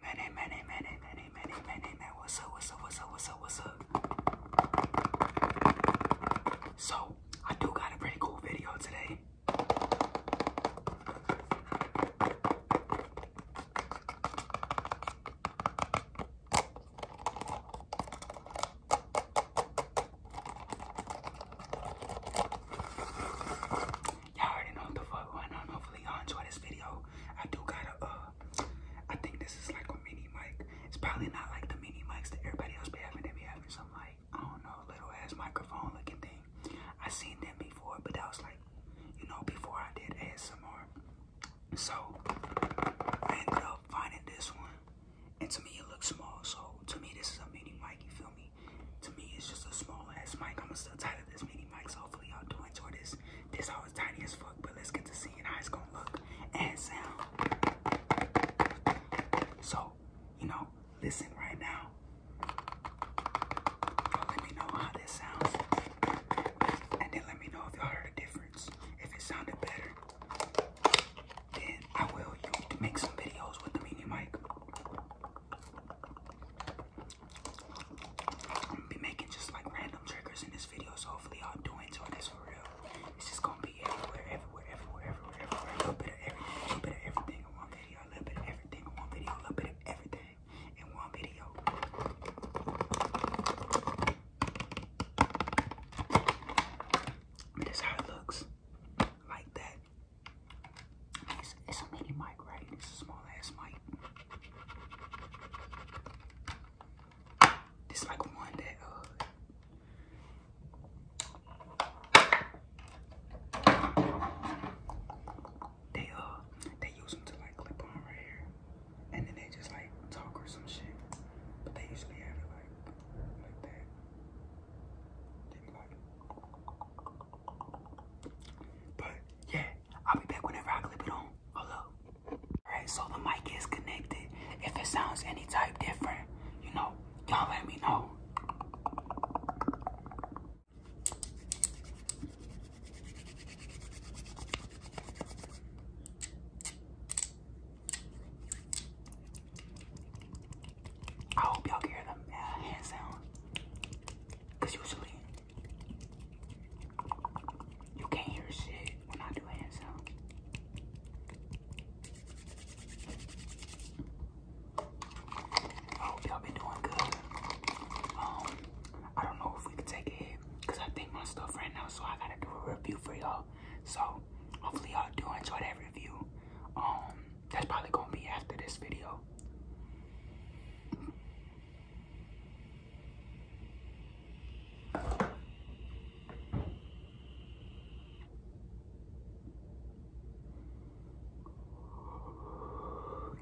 Many, many, many, many, many, many, many. What's up? What's up? What's up? What's up? What's up? So I do got a pretty cool video today y'all already know what the fuck I going on. Hopefully y'all enjoy this video. I do got a, uh, I think this is like a mini mic. It's probably not like the mini mics that everybody else be having. They be having some like, I don't know, little ass microphone looking thing. I seen them before, but that was like, you know, before I did ASMR. So, I ended up finding this one. And to me, it looks small. So, to me, this is a mini mic, you feel me? To me, it's just a small ass mic. I'm gonna still tie this mini mics. Hopefully y'all do enjoy this. This hole tiny as fuck, but let's get to seeing how it's gonna look and sound. So, you know, listen right now. let me know how this sounds. And then let me know if y'all heard a difference. If it sounded better, then I will make some videos with the mini mic. I'm gonna be making just like random triggers in this video, so hopefully y'all do this for real. It's just gonna be everywhere, everywhere, everywhere, everywhere, everywhere. A little bit of everything, a little bit of everything in one video, a little bit of everything in one video, a little bit of everything in one video. But that's how it looks. Like that. It's, a mini mic, right? It's a small ass mic. It's like one that uh, they uh they use them to like clip on right here and then they just like talk or some shit. But they usually have it like like that. But yeah, I'll be back whenever I clip it on. Hold Alright, so the mic is connected. If it sounds any type different, you know, y'all let me know. I hope y'all can hear the uh, hand sound. Because usually you can't hear shit when I do hand sounds. I hope y'all been doing good. Um, I don't know if we can take it because I think my stuff right now, so I gotta do a review for y'all. So hopefully y'all do enjoy that review. Um, that's probably gonna be after this video.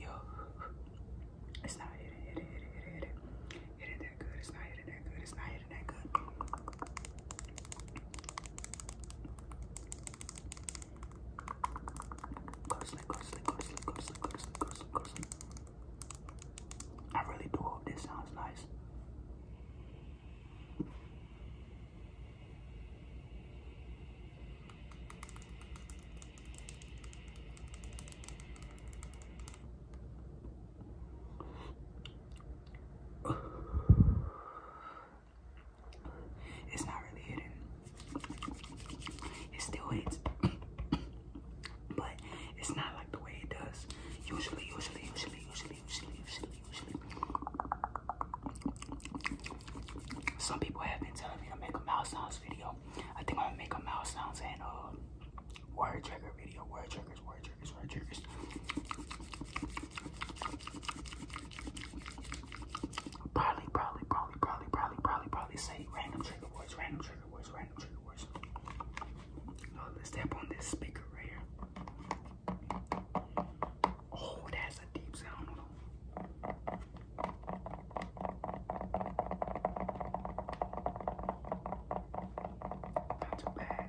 Yo, it's not hitting, hitting, hitting, hitting, hitting that good. It's not hitting that good. It's not hitting that good. Go sleep, go sleep, go sleep, go sleep, go sleep, go sleep, go sleep. I really do hope this sounds nice. It's not really hidden. It still hits, but it's not like the way it does. Usually, usually, usually, usually, usually, usually, usually. Some people have been telling me to make a mouth sounds video. I think I'm gonna make a mouth sounds and uh word trigger video. Word triggers, word triggers, word triggers. Probably, probably, probably, probably, probably, probably, probably say random trigger words, random trigger words, random trigger words. let's tap on this speaker here. Oh, that's a deep sound. Not bad.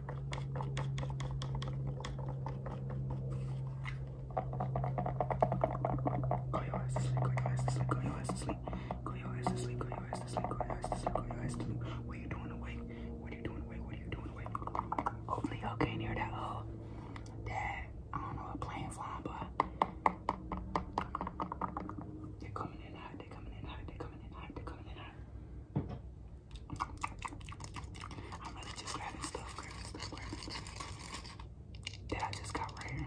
Go your ass to sleep, go your ass to sleep, go your ass to sleep. Go your ass to sleep, go your ass to sleep, go your ass to sleep, go your ass to sleep. What are you doing awake? What are you doing awake? What are you doing awake? Hopefully y'all can hear that uh that I don't know a plane flying by. They're coming in hot, they're coming in hot, they're coming in hot, they're coming in hot. I'm really just grabbing stuff, grabbing that I just got right here.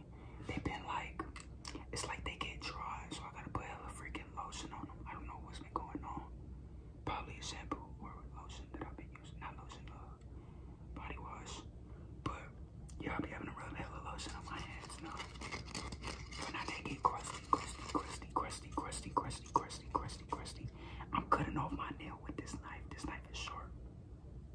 honestly. They've been like, it's like they get dry, so I gotta put hella freaking lotion on them. I don't know what's been going on. Probably a shampoo or lotion that I've been using. Not lotion, uh, body wash. But yeah, I'll be having to rub hella lotion on my hands now. But now they get crusty, crusty, crusty, crusty, crusty, crusty, crusty, crusty, crusty. I'm cutting off my nail with this knife. This knife is sharp.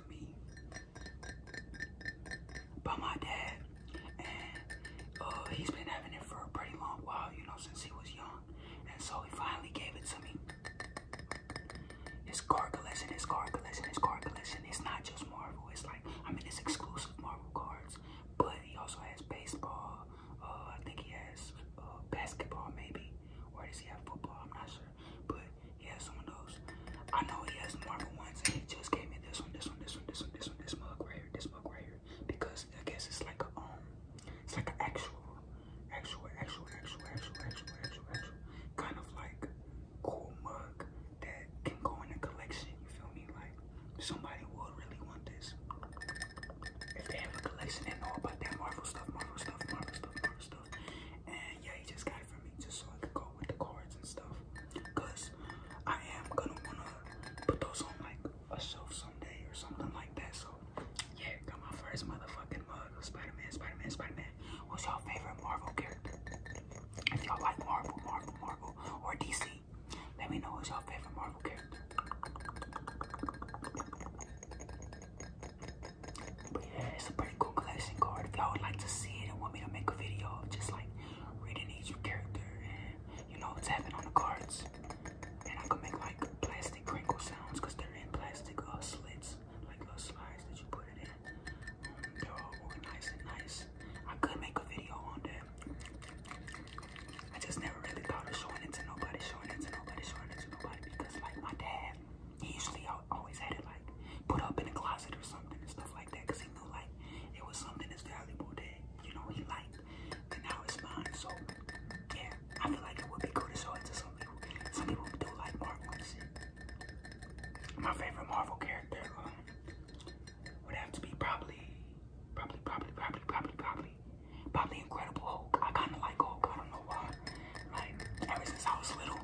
to me by my dad. And uh, he's been having it for a pretty long while, you know, since he was young. And so he finally gave it to me. His card collection, his card collection, his card collection. It's not just Marvel. It's like, I mean, it's exclusive Marvel cards. But he also has baseball. Uh, I think he has uh, basketball, maybe. Or does he have football? I'm not sure but he has some of those. I know he has Marvel ones, and he just gave me this one, this one, this one, this one, this one, this mug right here, this mug right here, because I guess it's like a um, it's like an actual, actual, actual, actual, actual, actual, actual, actual, kind of like cool mug that can go in a collection. You feel me? Like somebody would really want this if they have a collection and know about that Marvel stuff, Marvel stuff, Marvel stuff, Marvel stuff. And yeah, he just got it for me just so I could go with the cards and stuff. Cause I am gonna wanna put those on like a shelf someday or something like that. So yeah, got my first motherfucking mug of Spider-Man, Spider-Man, Spider-Man. What's y'all favorite Marvel character? If y'all like Marvel, Marvel, Marvel, or DC, let me know who's y'all favorite Marvel character. But yeah, it's a pretty cool collection card. If y'all would like to see it and want me to make a video of just like reading each character and you know what's happening on the cards. And I could make like plastic crinkle sounds because they're in plastic uh, slits, like little slides that you put it in. Um, they're all organized and nice. I could make a video on that. I just never really thought of showing it to nobody, showing it to nobody, showing it to nobody because like my dad, he usually always had it like put up in a closet or something and stuff like that because he knew like it was something that's valuable that you know he liked and now it's mine so yeah i feel like it would be cool to show it to some people some people do like marvel and shit my favorite marvel character um, would have to be probably probably probably probably probably probably probably incredible hulk i kind of like hulk i don't know why like ever since I was little,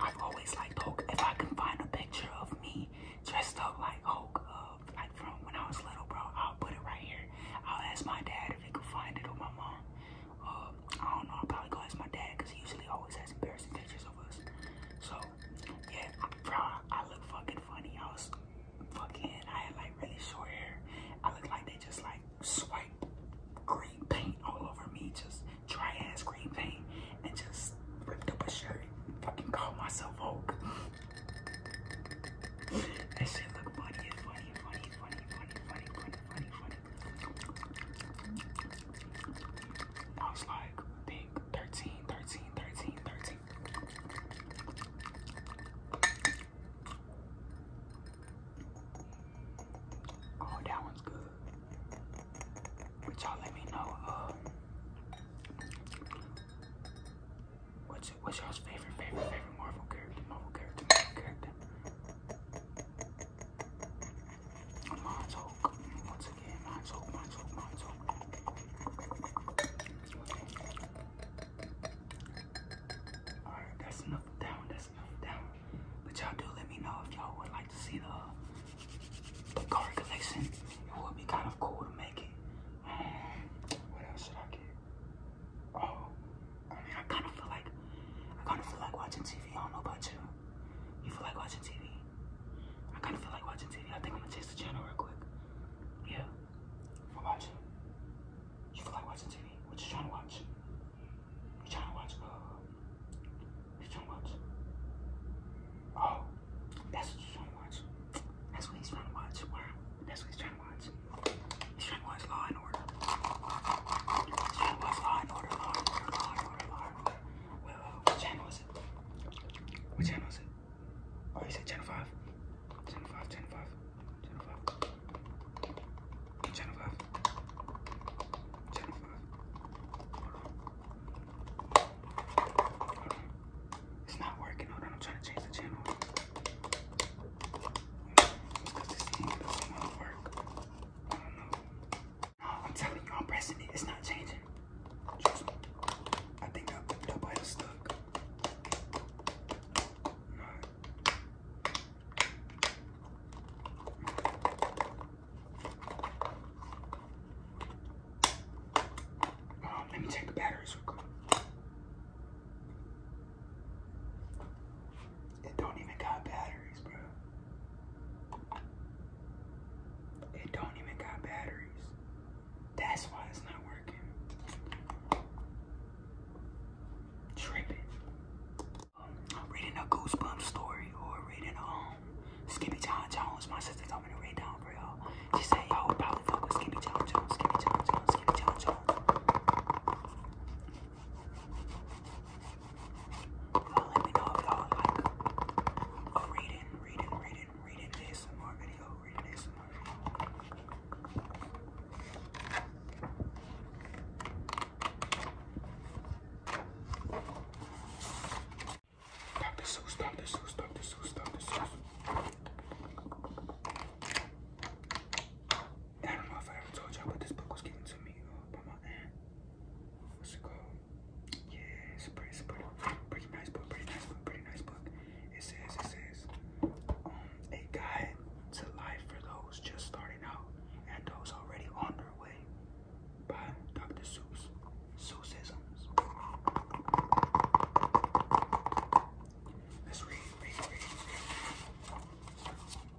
I've always liked Hulk. If I can find a picture of me dressed up like Hulk, uh, like from when I was little, bro, I'll put it right here. I'll ask my dad if he can find it or my mom. Uh, I don't know. I'll probably go ask my dad because he usually always has embarrassing pictures of us. So yeah, bro, I look fucking funny. I was fucking. I had like really short hair. I look like they just like swipe green paint all over me, just dry ass green paint, and just ripped up a shirt fucking called myself Hulk. that shit look funny, funny, funny, funny, funny, funny, funny, funny, I was like, big 13, 13, Oh, that one's good. But y'all let me know, uh, what's, what's y'all's favorite, favorite, favorite Marvel character, Marvel character, Marvel character? Mine's Once again, mine's Hulk, mine's Alright, that's enough that one. But y'all do let me know if y'all would like to see the car card collection. It would be kind of cool to make it. Um, what else should I get? Oh, I mean, I kind of feel like I kind of feel like watching TV. I don't know about you. You feel like watching TV? I kind of feel like watching TV. I think I'm gonna change the channel real quick. Yeah, i watching. You feel like watching TV? What you trying to watch? You trying to watch? Uh, trying to watch? Oh, that's what you trying to watch. That's what he's trying to watch. Wow, that's what he's trying to watch. He's trying to watch Law and Order. He's trying to watch Law and Order. Law and Order. Law and Order. Law and Order. what channel is it? What channel is it? Oh, you said Channel Five. Channel Five. Channel Five. Channel 5. Channel 5. Channel 5. Hold on. Hold on. It's not working. Hold on. I'm trying to change the channel. Because this thing won't work. I don't know. No, I'm telling you, I'm pressing it. It's not changing. Trust me. I think I, the bite is stuck. No, Oh, let me take the batteries It don't even got batteries, bro. It don't even got batteries. That's why it's not working reading a Goosebumps story or reading um Skippy John Jones. My sister told to read down for y'all. She said y'all probably fuck Skippy John Jones, Skippy John Jones, Skippy John Jones. Y'all let me know if y'all like a reading, reading, reading, reading this more video, reading this more Stop this, stop this, stop this, stop this. I don't know if I ever told you but this book was given to me uh, by my What's it called? Yeah, it's a pretty, pretty, pretty nice book, pretty nice book, pretty nice book. It says, it says, um, a guide to life for those just starting out and those already on their way by Dr. Seuss. Seussisms. Let's read, read, read.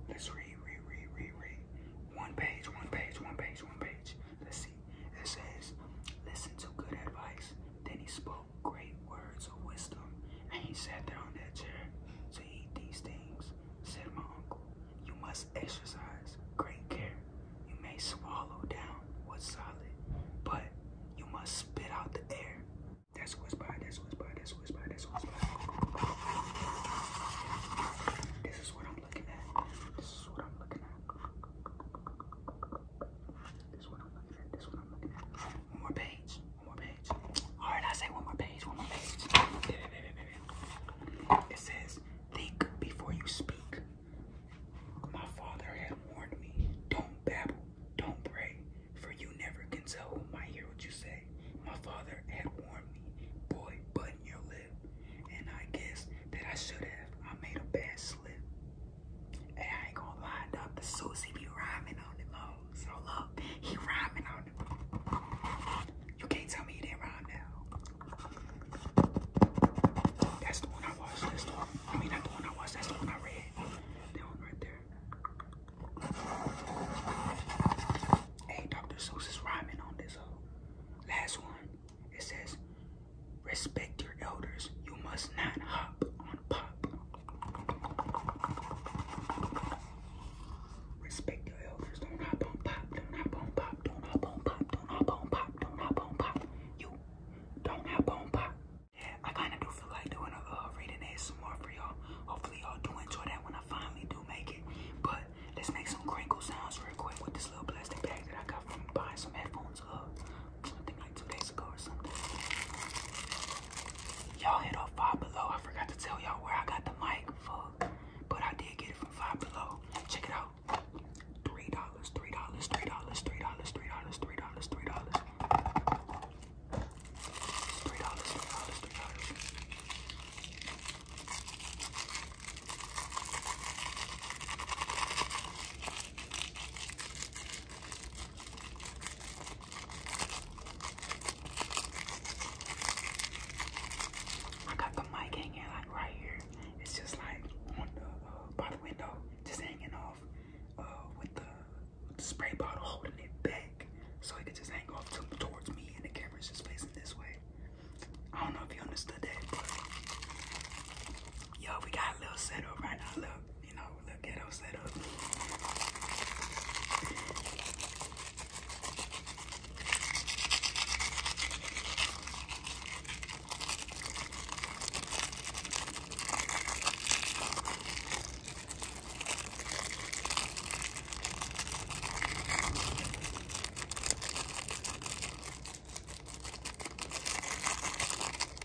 Let's read, read, read, read, read. One page, one page, one page, one page. Let's see. It says, listen to good advice. Then he spoke spoke great words of wisdom, and he sat down on that chair to eat these things, said my uncle. You must exercise great care. You may swallow down what's solid, but you must spit out the air. That's what's by, that's what's by, that's what's by, that's what's by. This is what I'm looking at. This is what I'm looking at. This is what I'm looking at. This is what I'm looking at. One more page. One more page. Alright, I say one more page. One more page. It says, think before you speak. My father had warned me, don't babble, don't pray, for you never can tell who might hear what you say. My father had warned me, boy, button your lip. And I guess that I should have. I made a bad slip. And I ain't going lie, The Susie be rhyming on them hoes. So look, he rhyming on them. You can't tell me you didn't rhyme now. That's the one I watched. That's the one. I mean, not the one I watched. That's the one I read. That one right there. Hey, Dr. Seuss rhyming on this hoe. Last one. It says, respect your elders. You must not hop on pop. Respect your elders. Don't hop on pop. Don't hop on pop. Don't hop on pop. Don't hop on pop. Don't hop on pop. You don't hop on pop. Yeah, I kind of do feel like doing a uh, reading ASMR for y'all. Hopefully y'all do enjoy that when I finally do make it. But let's make some crinkle sounds real quick with this little plastic bag that I got from buying some headphones. Uh, I think like two days ago or something. Y'all hit up Five Below. I forgot to tell y'all where I got the mic for, but I did get it from Five Below. Check it out. Three dollars, three dollars, three dollars, three dollars, three dollars, three dollars, three dollars. Three dollars, three dollars, three dollars. I got the mic hanging like right here. It's just like on the uh, by the window, just hanging off uh, with the, spray bottle holding it back, so it can just hang off towards me, and the camera's just facing this way. I don't know if you understood that, but yo, we got a little setup right now. Look, you know, little ghetto setup.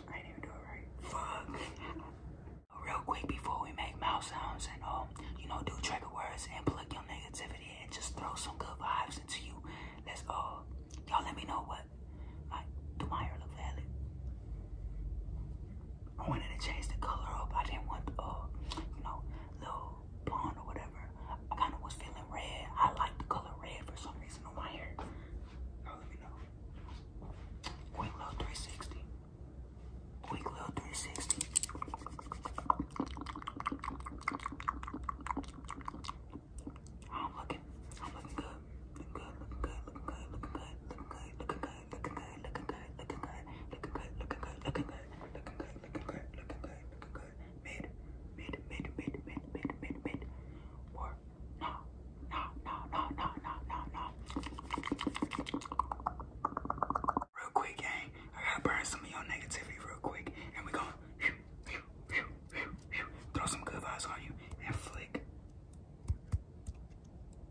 I didn't do it right. Fuck. Real quick before we make mouth sounds and um, you know, do trigger words and plug your negativity and just throw some good vibes into you. Let's uh y'all let me know what like do my hair look valid. I wanted to change the color up. I didn't want uh, you know, little blonde or whatever. I kind of was feeling red. I like the color red for some reason on my hair. you let me know. Quick little 360. Quick little 360. I'm looking. I'm looking good. Looking good. Looking good. Looking good. Looking good. Looking good. Looking good looking good, looking good, looking good, looking good, looking good, looking good, looking good, looking good, looking good, looking good. Mid, mid, mid, mid, mid, mid, mid, mid. Or no, no, no, no, no, no, no, no. Real quick, gang. I gotta burn some of your negativity real quick, and we gonna throw some good vibes on you and flick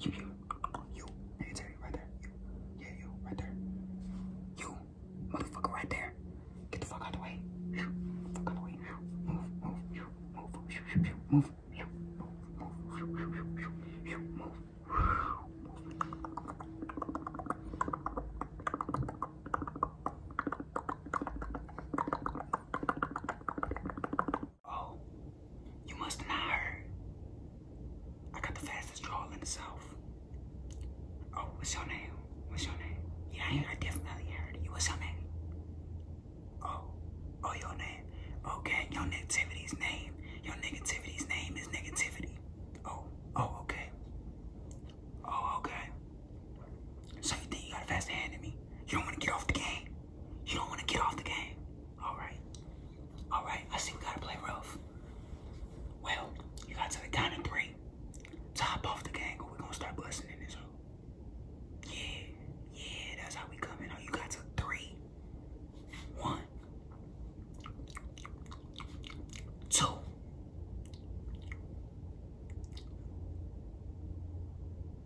you, you, you, right there. Yeah, you, right there. You, motherfucker, right there. Get the fuck out the way. Fuck out the way. Move, move, you, move, move, move, you, move, move, move, you, move. Oh, you must have not heard. I got the fastest draw in the south. Oh, what's your name? What's your name? Yeah, I, I definitely heard you. What's your name? Oh, oh, your name. Okay, your negativity's name. Your negativity's name is negativity. Oh, oh, okay. Oh, okay. So you think you got a fast hand in me? You don't want to get off the game? You don't want to get off the game. All right. All right. I see we got to play rough. Well, you got to the down and three. Top off the gang, or we're going to start busting in this hole. Yeah. Yeah, that's how we coming out. You got to three. One. Two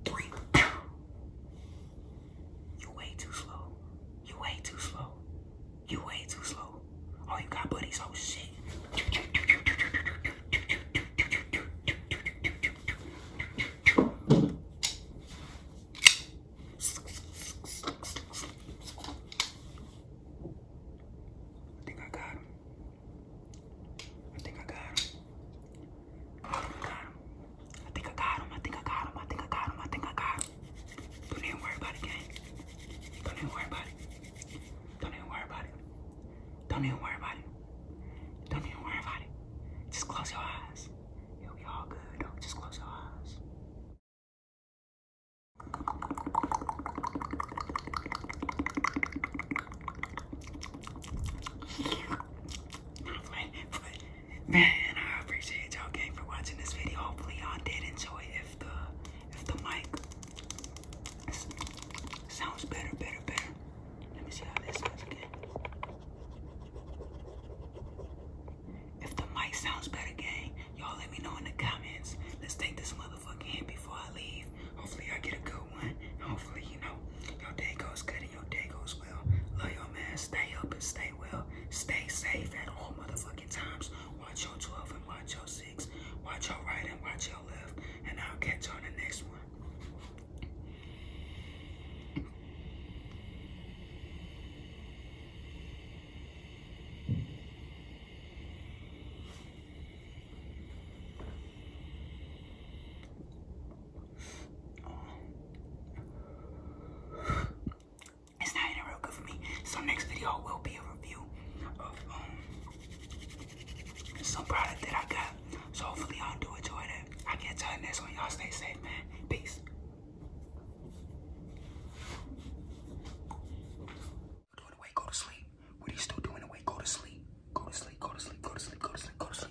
three. You way too slow. You are way too slow. You are way too slow. Oh, you got buddies. Oh shit. I think I got him. I think I got him. I think I got him. I think I got him. I think I got him. I think I got him. Don't even worry about it, gang. Don't even worry about it. Don't even worry about it. Don't even worry about it. Don't even worry about it. Just close your eyes. It'll be all good. Don't just close your eyes. Man, I appreciate y'all gang for watching this video. Hopefully y'all did enjoy if the if the mic sounds better, better, better. Let me see how this sounds again. If the mic sounds better, gang, y'all let me know in the comments. Let's take this motherfucker in before I leave. Hopefully I get a good one. Hopefully know, your day goes good and your day goes well. Love your man. Stay up and stay well. Stay safe at all motherfucking times. Watch your 12 and watch your 6. Watch your right and watch your left. And I'll catch you on the next one. It's not even real good for me. So next video will be a review of um, some product that I got. So hopefully y'all do enjoy that. I get to the next one. Y'all stay safe, man. Peace. Doing away, go to sleep. What are you still doing away? Go to sleep. Go to sleep. Go to sleep. Go to sleep. Go to sleep. Go to sleep.